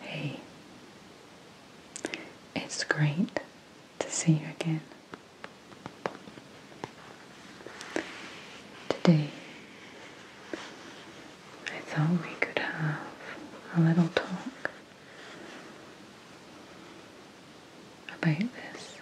Hey, it's great to see you again. Today, I thought we could have a little talk about this.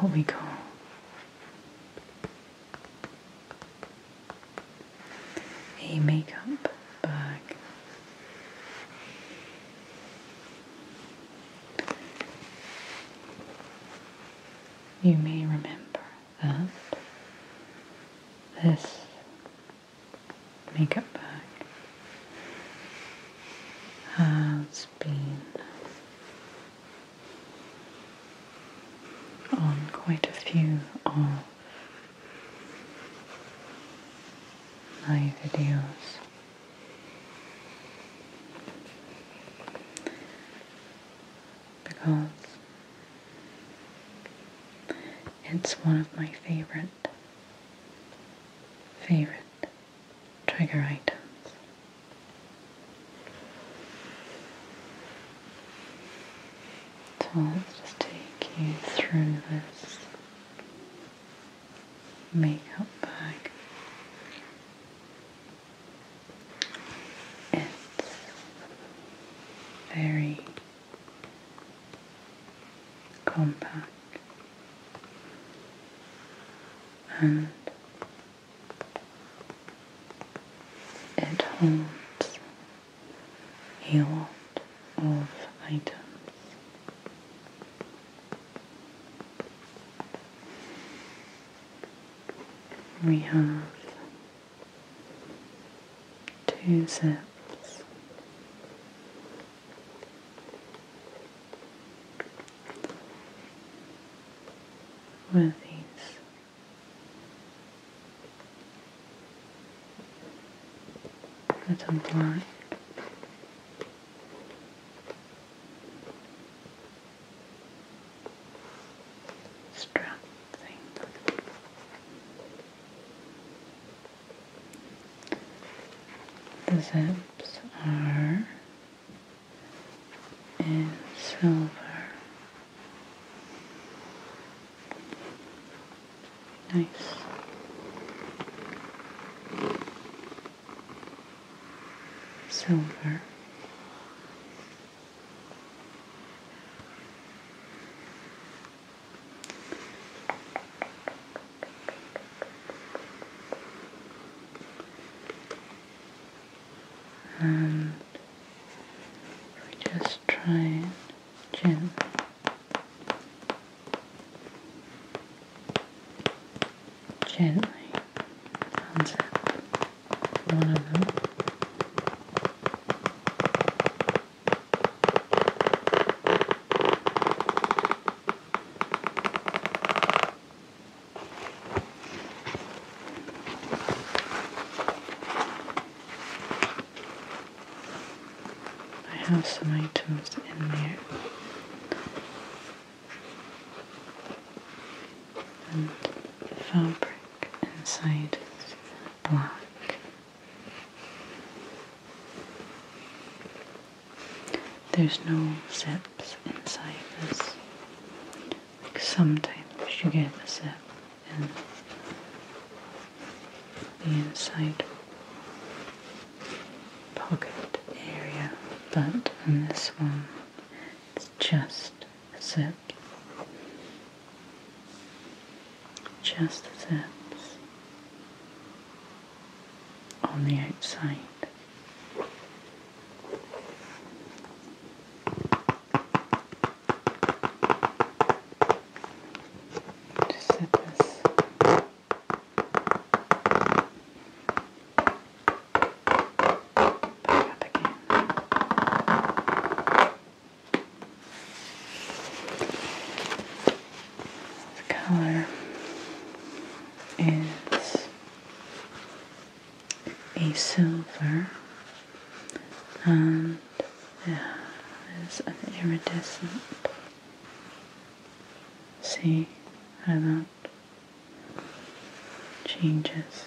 Here we go. A makeup bag. You may remember that this makeup bag has been on quite a few of my videos. Because it's one of my favorite, favorite trigger items. So let's take you through this makeup bag. It's very compact and it holds a lot of items. We have two zips with these The blind. Strap thing. The zips are and silver. Nice. Silver and we just try gently gently unzip one of them I have some items in there. And fabric inside black. There's no zips inside this. Like sometimes you get a zip in the inside pocket area, but on this one it's just a zip. Just zips on the outside. Just set this. Back up again. The color is a silver and yeah, it's an iridescent. See how that changes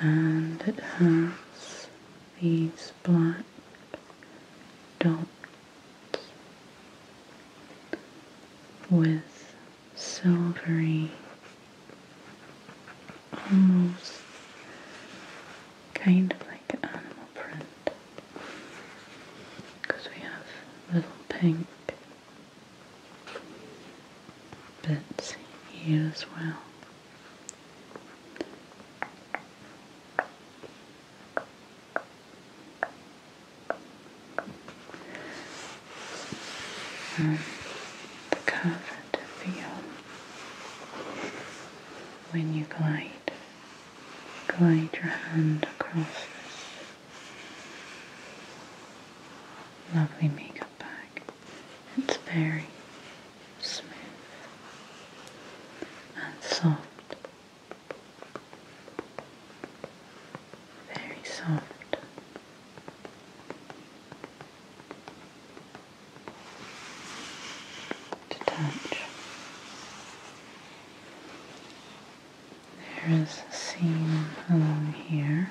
and it has these black dots with silvery, almost kind of like animal print because we have little pink bits here as well. And um, the comfort feel when you glide. Glide your hand across this lovely makeup bag. It's very smooth and soft, very soft. To touch, there is a seam along here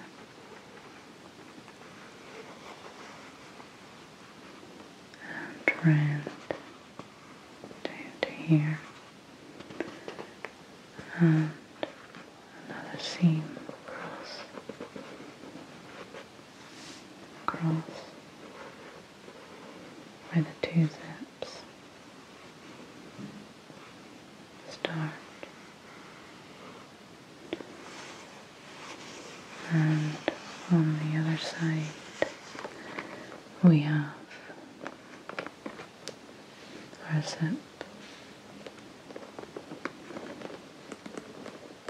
and round to here and another seam across where the two zips start and on the other side we have our zip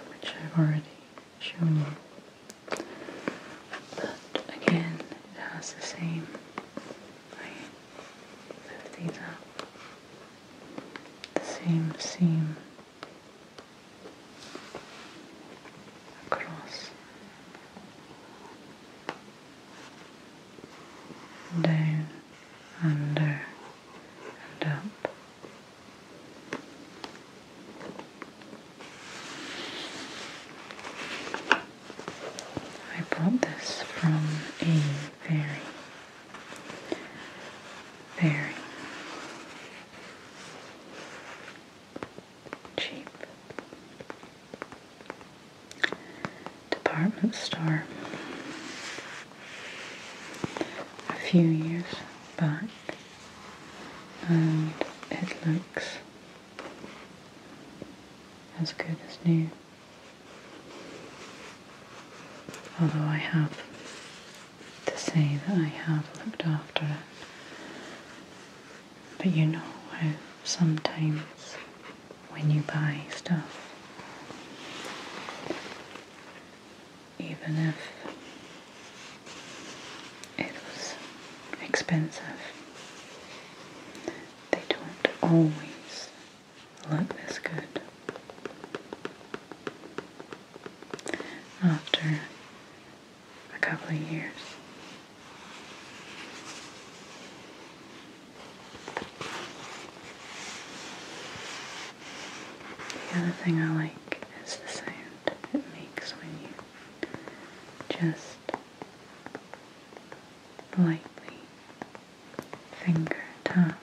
which I've already shown you but again it has the same I lift these up the same seam across down under and up I bought this from a very very cheap department store. A few years back, and it looks as good as new. Although I have to say that I have looked after it. But you know sometimes when you buy stuff, even if it was expensive, they don't always look this good after a couple of years. The other thing I like is the sound it makes when you just lightly finger tap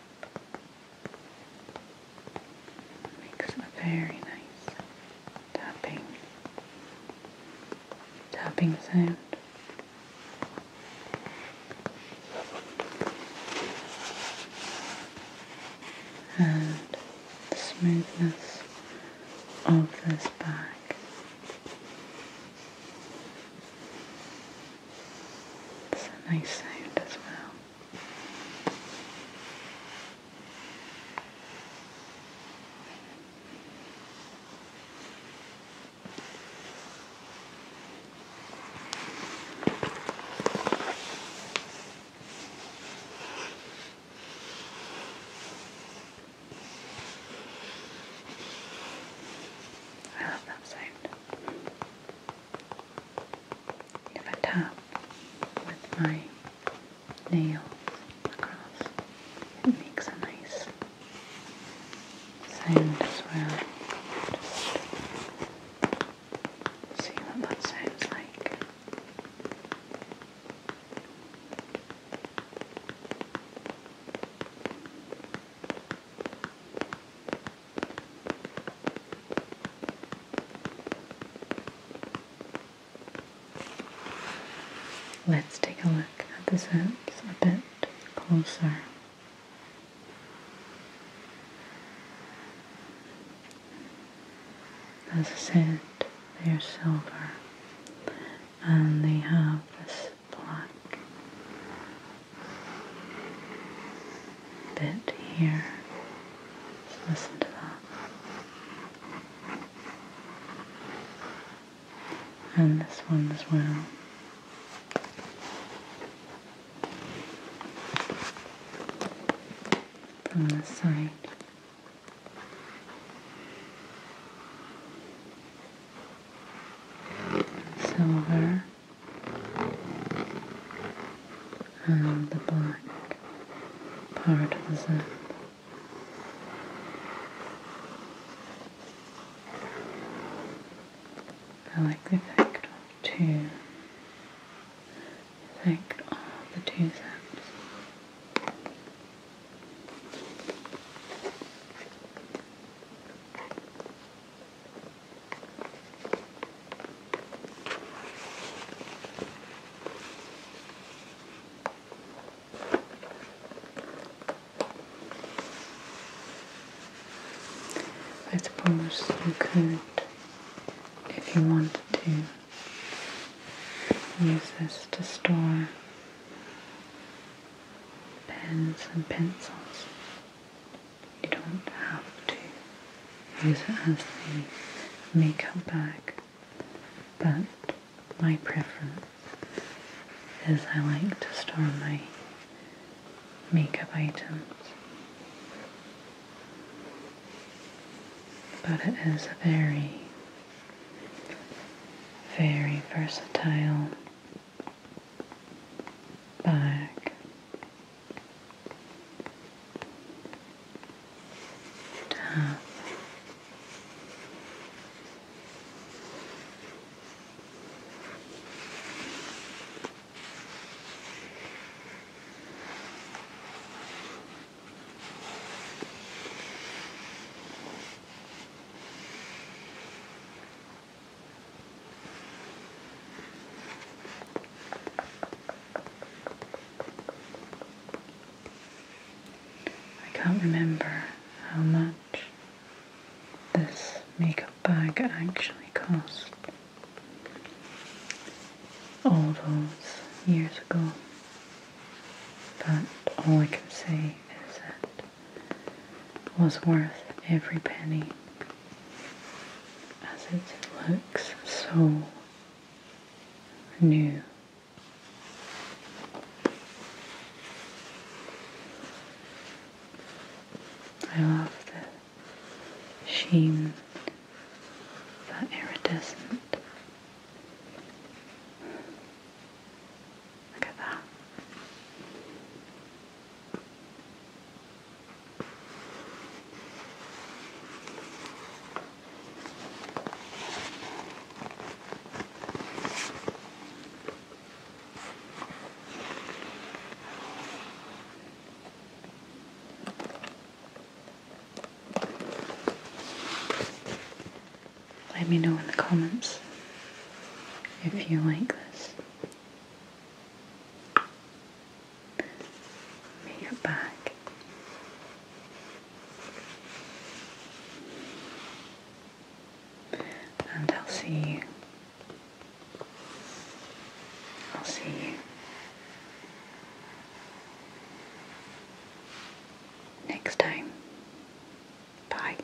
Makes a very nice tapping, tapping sound. And smoothness of this bag it's a nice sound as well. I love that sound if I tap with my nails across, it makes a nice sound as well. Just see what that sounds like. Let's take a look at the sounds a bit closer. As I said, they are silver and they have this black bit here. listen to that. And this one as well. From this side. Silver and the black part of the zip. I like the effect of two, the effect the two zips. I suppose you could, if you wanted to, use this to store pens and pencils. You don't have to use it as the makeup bag, but my preference is I like to store my makeup items. But it is very, very versatile back, down. I can't remember how much this makeup bag actually cost all those years ago, but all I can say is that was worth every penny, as it looks so new. I love the sheen, the iridescent let me know in the comments if you like this. Make it back. And I'll see you. I'll see you next time. Bye.